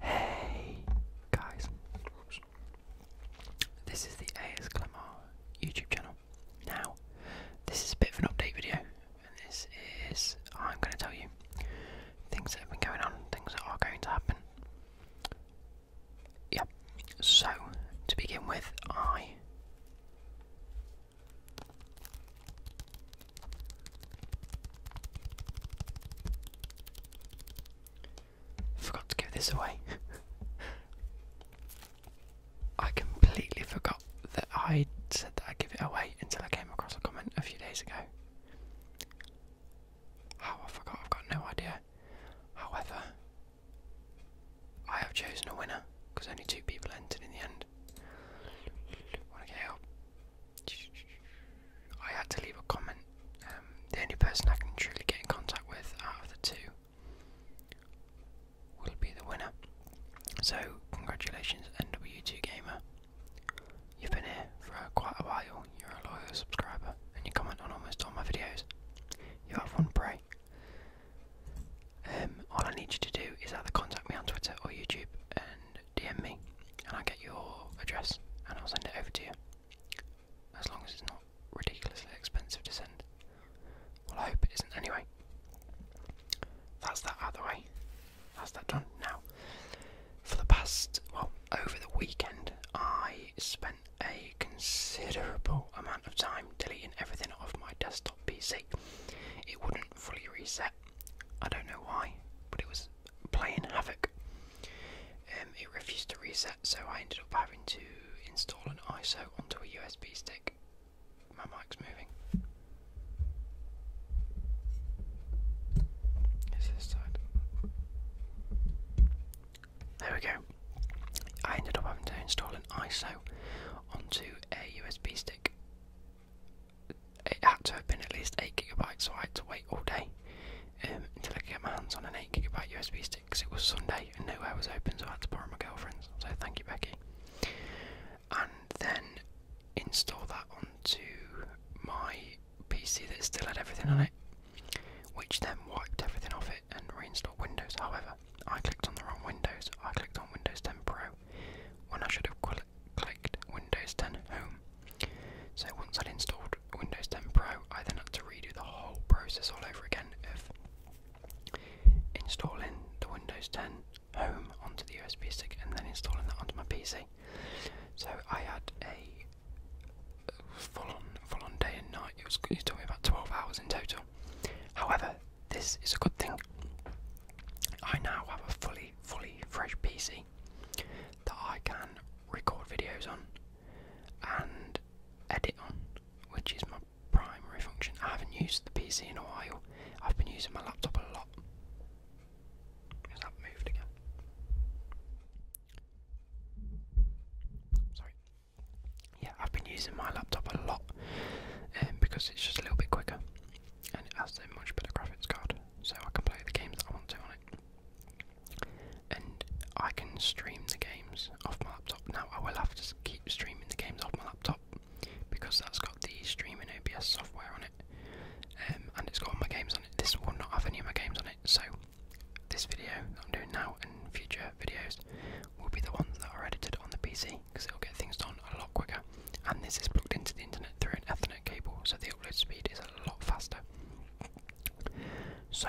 Hey guys, this is the AS Clamar YouTube channel. Now, this is a bit of an update video, and this is I'm going to tell you things that have been going on, things that are going to happen. Yeah, so to begin with, I Forgot to give this away. I completely forgot that I said that I'd give it away until I came across a comment a few days ago. How I forgot, I've got no idea. However, I have chosen a winner because only two people entered in the end. Wanna get out? I had to leave a comment. Um, the only person I can truly get in contact with out of the two will be the winner. So, congratulations, NW2 Gamer. You've been here for quite a while, you're a loyal subscriber, and you comment on almost all my videos. You have one prey. Um, all I need you to do is either contact me on Twitter or YouTube, and DM me, and I'll get your address, and I'll send it over to you. As long as it's not ridiculously expensive to send. Well, I hope it isn't anyway. That's that out the way. That's that done now. For the past, well, over the weekend, I spent a considerable amount of time deleting everything off my desktop PC. It wouldn't fully reset, I don't know why, but it was playing havoc. Um, it refused to reset, so I ended up having to install an ISO onto a USB stick. My mic's moving. Is this side? There we go. I ended up having to install an ISO onto a USB stick it had to have been at least 8GB, so I had to wait all day um, until I could get my hands on an 8GB USB stick because it was Sunday and nowhere was open, so I had to borrow my girlfriend's. So thank you, Becky. And then install that onto my PC that still had everything on it, which then wiped everything off it and reinstalled Windows. However, I clicked on the wrong Windows, I clicked on Windows 10 Pro when I should have clicked Windows 10 Home. So once I'd installed Windows 10 Pro, I then had to redo the whole process all over again of installing the Windows 10 Home onto the USB stick and then installing that onto my PC. So I had a full on, full on day and night. It was it took me about 12 hours in total. However, this is a good thing. I now have a fully, fully fresh PC that I can record videos on and edit on, which is my primary function. I haven't used the PC in a while, I've been using my laptop a lot. Because i moved again. Sorry. Yeah, I've been using my laptop a lot um, because it's just a little bit quicker and it has a much better graphics card, so I can play the games that I want to on it. And I can stream the games off my laptop. Now I will have to keep streaming the games off my laptop because that's got the streaming OBS software on it, um, and it's got all my games on it. This will not have any of my games on it, so this video I'm doing now and future videos will be the ones that are edited on the PC because it'll get things done a lot quicker. And this is plugged into the internet through an Ethernet cable, so the upload speed is a lot faster. So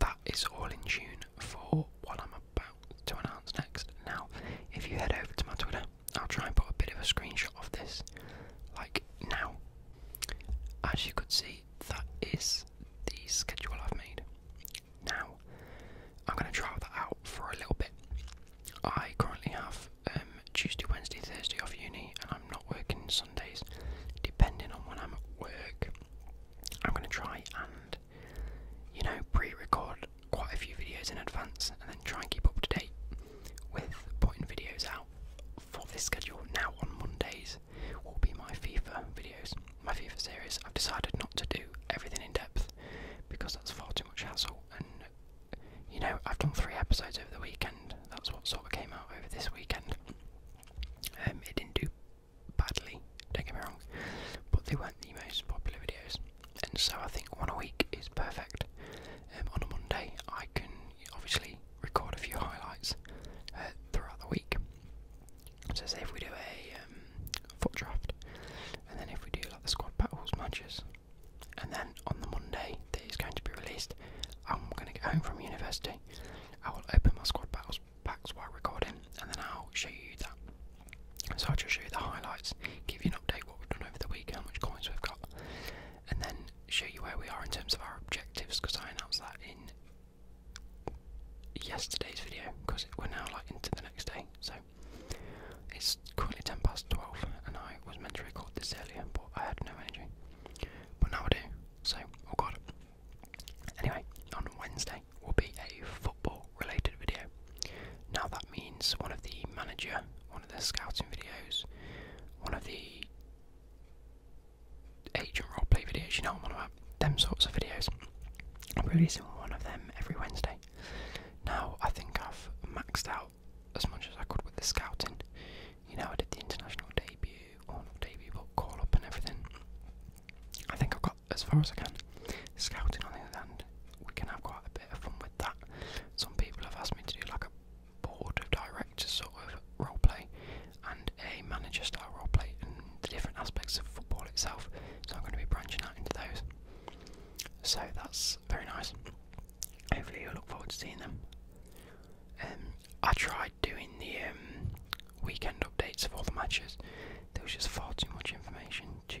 that is all in tune for what I'm about to announce next. Now, if you head over to my Twitter, I'll try and put a bit of a screenshot of this, like now. As you could see, that is the schedule I've made. Now, I'm going to try that out for a little bit. I currently have um, Tuesday, Wednesday, Thursday off uni, and I'm not working Sundays. Depending on when I'm at work, I'm going to try and, you know, pre record quite a few videos in advance and then try and keep up to date with putting videos out for this schedule. Now, on Mondays, will be my FIFA videos my FIFA series, I've decided not to do everything in depth because that's far too much hassle. And you know, I've done three episodes over the weekend. That's what sort of came out over this weekend. Um, it didn't do badly. Don't get me wrong, but they weren't the most popular videos. And so I think one a week is perfect. Um, on a Monday, I can obviously record a few highlights uh, throughout the week. So say if we do a um, foot draft, and then if we do like the squad battles matches, and then on the Monday that is going to be released, I'm going to get home from university. I will open my squad battles packs while recording, and then I'll show you that. So I'll just show you the highlights, give you an update what we've done over the week, how much coins we've got, and then show you where we are in terms of our objectives because I announced that in yesterday's video because we're now like into the next day. So it's currently ten past twelve, and I was meant to record this earlier, but I had no energy. But now I do. So oh god. Anyway, on Wednesday will be a football-related video. Now that means one of the manager, one of the scouting videos, one of the agent roleplay videos, you know I'm on about. Them sorts of videos. I'm releasing one of them every Wednesday. Now I think I've maxed out as much as I could with the scouting. You know, I did the international debut, on not debut, but call up and everything. I think I've got as far as I can. Scouting, on the other end. we can have quite a bit of fun with that. Some people have asked me to do like a board of directors sort of roleplay, and a manager style role play and the different aspects of football itself. So I'm going to be branching out into those. So that's very nice. Hopefully you'll look forward to seeing them. Um, I tried doing the um, weekend updates of all the matches. There was just far too much information to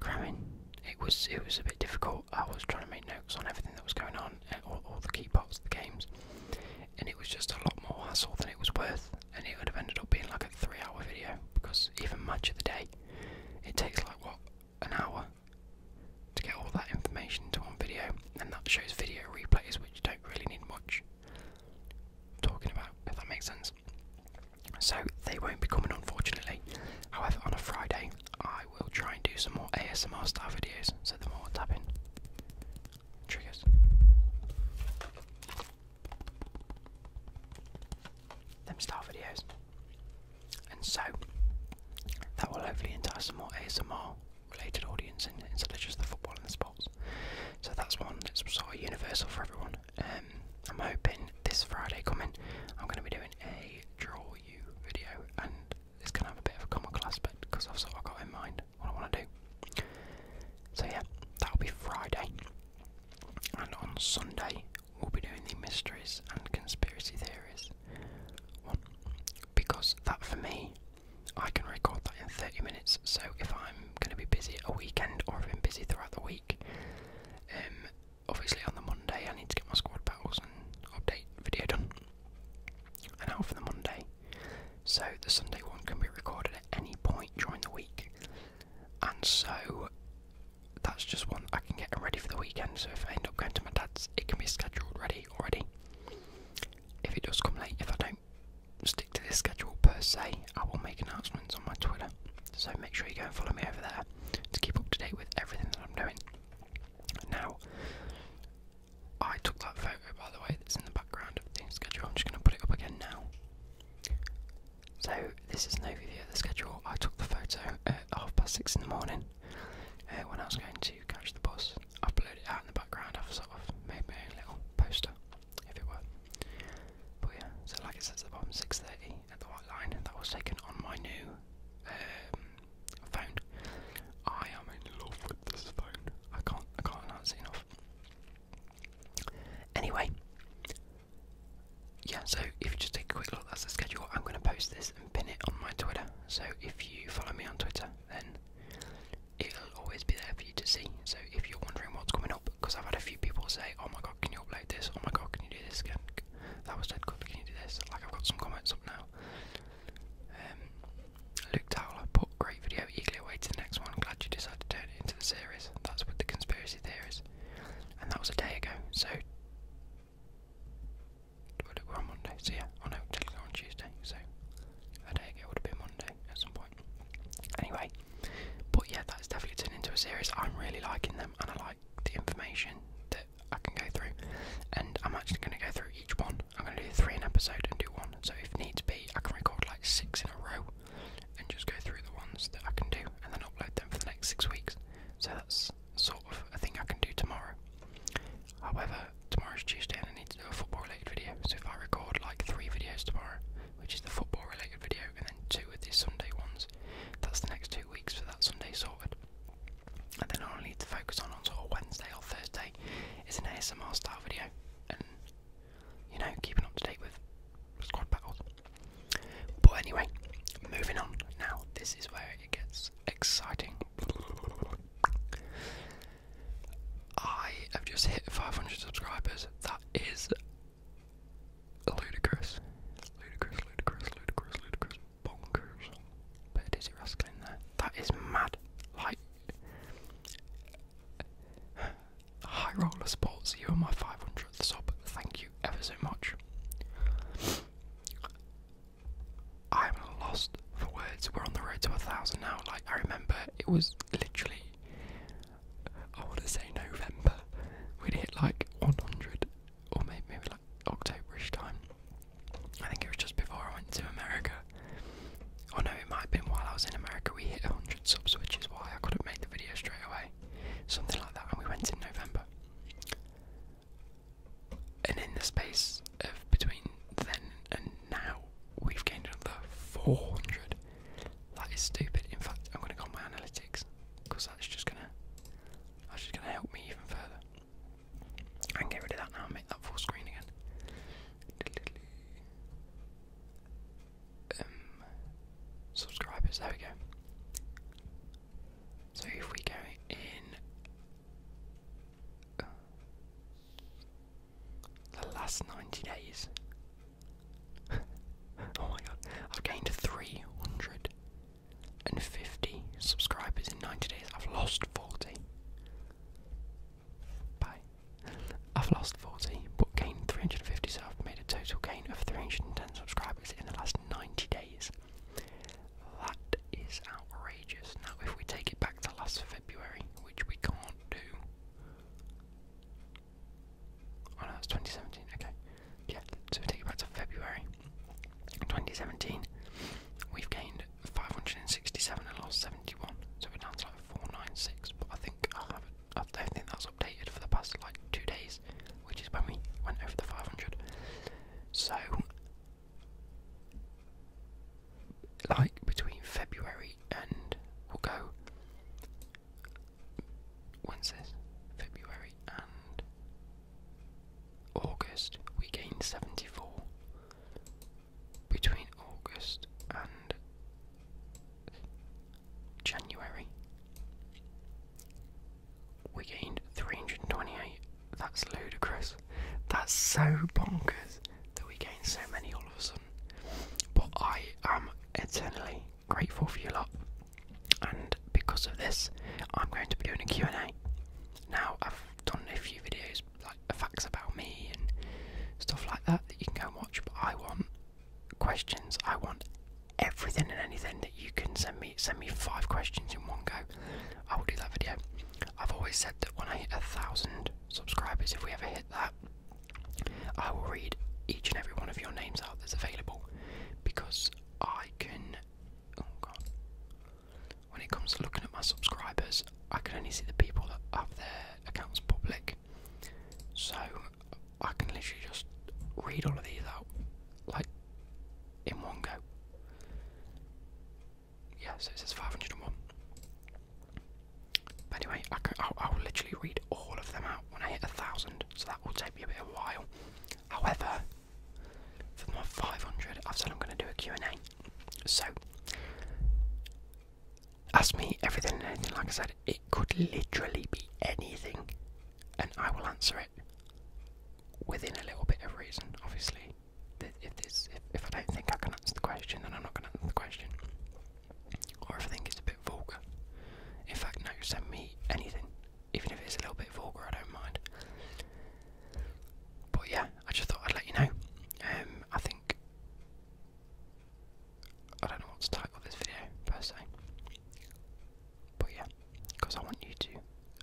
cram in. It was it was a bit difficult. I was trying to make notes on everything that was going on, all, all the key parts of the games and it was just a lot more hassle than it was worth, and it would have ended up being like a three hour video because even much of the day, it takes like what an hour to get all that information into one video, and that shows video replays which don't really need much talking about, if that makes sense. So they won't be coming, unfortunately. However, on a Friday, I will try and do some more ASMR style videos, so the more tapping, triggers. Them style videos. And so that will hopefully entice some more ASMR related audience instead of just the football and the sports. So that's one that's sort of universal for everyone. Um, I'm hoping this Friday coming, I'm going to be doing a draw you video, and it's going to have a bit of a comical aspect because I've sort got in mind what I want to do. So yeah, that'll be Friday. And on Sunday, we'll be doing the mysteries and conspiracy theories Because that for me, I can record that in 30 minutes. So if I'm going to be busy a weekend or I've been busy throughout the week, um, obviously on the Monday I need to get my squad battles and update video done an hour for the Monday, so the Sunday one can be recorded at any point during the week. And so that's just one I can get ready for the weekend. So if I end up going to my dad's, it can be scheduled ready already. If it does come late, if I don't stick to this schedule per se, I will make announcements on my Twitter. So make sure you go and follow me over there to keep up to date with everything that I'm doing. Now, I took that photo, by the way, that's in the background of the schedule. I'm just going to put it up again now. So, this is an overview of the schedule. I took the photo at half past six in the morning uh, when I was going to catch the bus. I uploaded it out in the background. I've sort of made my own little poster, if it were. But yeah, so like it says at the bottom, 6.30 at the white line. That was taken on my new um, phone. I am in love with this phone. I can't I can't announce enough. Anyway, yeah, so if you just take a quick look, at the schedule. I'm gonna post this and pin it on my Twitter. So if you follow me on Twitter then it'll always be there for you to see. So if you're wondering what's coming up, because I've had a few people say, Oh my god, can you upload this? Oh my god, can you do this again? That was dead good, can you do this? Like I've got some comments up now. Um, Luke Towler put great video eagerly awaiting the next one. Glad you decided to turn it into the series. That's with the conspiracy theories, and that was a day ago. So we're on Monday. So yeah, oh no, technically on Tuesday. So a day ago would have been Monday at some point. Anyway, but yeah, that's definitely turned into a series. I'm really liking them, and I like the information, that. I can go through, and I'm actually going to go through each one. I'm going to do three in episode and do one. So if needs be, I can record like six in a row, and just go through the ones that I can do, and then upload them for the next six weeks. So that's sort of a thing I can do tomorrow. However, tomorrow is Tuesday, and I need to do a football-related video. So if I record like three videos tomorrow, which is the football-related video, and then two of these Sunday ones, that's the next two weeks for that Sunday sorted and then all I need to focus on on sort of Wednesday or Thursday is an ASMR style video and you know keeping up to date with squad battles. But anyway, moving on. Now this is where it gets exciting. I have just hit 500 subscribers. That is ludicrous. Ludicrous, ludicrous, ludicrous, ludicrous bonkers. Put a dizzy rascal in there. That is mad. Like high roller sports. You are my 500th sub. Thank you ever so much. I'm lost for words. We're on the road to a thousand now. Like I remember, it was literally. I want to say November. we hit like 100 or maybe, maybe like Octoberish time. I think it was just before I went to America. Oh no, it might have been while I was in America. We hit 100 subs, which is why I couldn't make the video straight away. Something like that, and we went in November. And in the space of between then and now, we've gained another 400. That is stupid. In fact, I'm going to go on my analytics because that's just going to that's just going to help me even further. I can get rid of that now and make that full screen again. Um, subscribers, there we go. So if we go in, uh, the last 90 days, oh my god, i gained 300 and 50 subscribers in 90 days. I've lost 40. Bye. I've lost 40, but gained 350, so I've made a total gain of 310 subscribers in the last 90 days. That is outrageous. Now, if we take it back to last February, which we can't do. Oh no, it's 2017, okay yeah, so we take it back to February 2017. We've gained 567 lost 71, so we're down to like 496. But I think I haven't, I don't think that's updated for the past like two days, which is when we went over the 500. So, like between February and we'll go when's February and August, we gained 74. Between August and January, we gained 328. That's ludicrous. That's so bonkers that we gained so many all of a sudden. But I am eternally grateful for you lot. And because of this, I'm going to be doing a Q&A. Now, I've done a few videos, like facts about me and stuff like that, that you can go and watch, but I want questions. I want everything and anything that you can send me. Send me five questions in one go. I will do that video. I've always said that when I hit a thousand subscribers, if we ever hit that, I will read each and every one of your names out that's available because I can. Oh god. When it comes to looking at my subscribers, I can only see the people that have their accounts public. So I can literally just read all of these out, like in one go. Yeah, so it says 501. But anyway, I can, I'll literally read all of them out when I hit a thousand so that will take me a bit of while. However, for my five hundred, I've said I'm going to do a Q and A. So, ask me everything and anything. Like I said, it could literally be anything, and I will answer it within a little bit of reason. Obviously, if if I don't think I can answer the question, then I'm not going to answer the question. Or if I think it's vulgar. In fact, no, send me anything, even if it's a little bit vulgar, I don't mind. But yeah, I just thought I'd let you know. Um, I think I don't know what to title this video per se, but yeah, because I want you to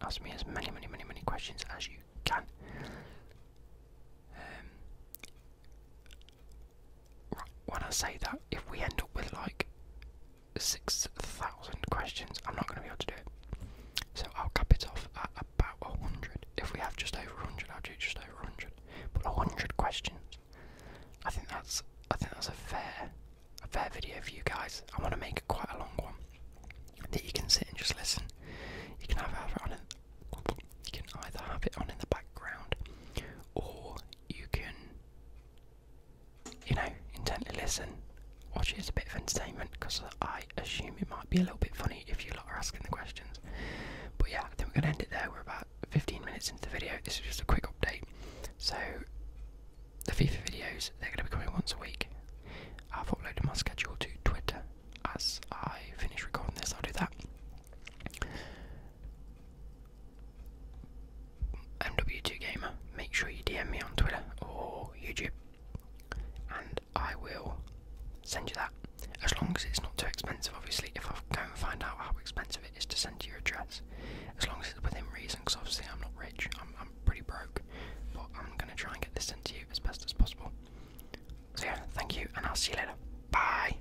ask me as many, many, many, many questions as you can. Um, when I say that, if we end up with like 6,000 questions, I'm not going to be able to do it. So I'll cap it off at about 100. If we have just over 100, I'll do just over 100. But 100 questions. I think that's I think that's a fair a fair video for you guys. I want to make it quite a long one that you can sit and just listen. You can have it on in, you can either have it on in the background or you can you know, intently listen. Watch it as a bit of entertainment because I assume it might be a little bit funny if you are asking the questions. But yeah, I think we're going to end it there. We're about 15 minutes into the video. This is just a quick update. So, the FIFA videos, they're going to be coming once a week. I've uploaded my schedule to Twitter. As I finish recording this, I'll do that. MW2 Gamer, make sure you DM me on Twitter or YouTube, and I will send you that. As long as it's not too expensive, obviously. If I go and find out how expensive it is to send to your address, as long as it's within reason, because obviously I'm not rich, I'm, pretty broke, but I'm gonna try and get this sent to you as best as possible. So yeah, thank you, and I'll see you later. Bye.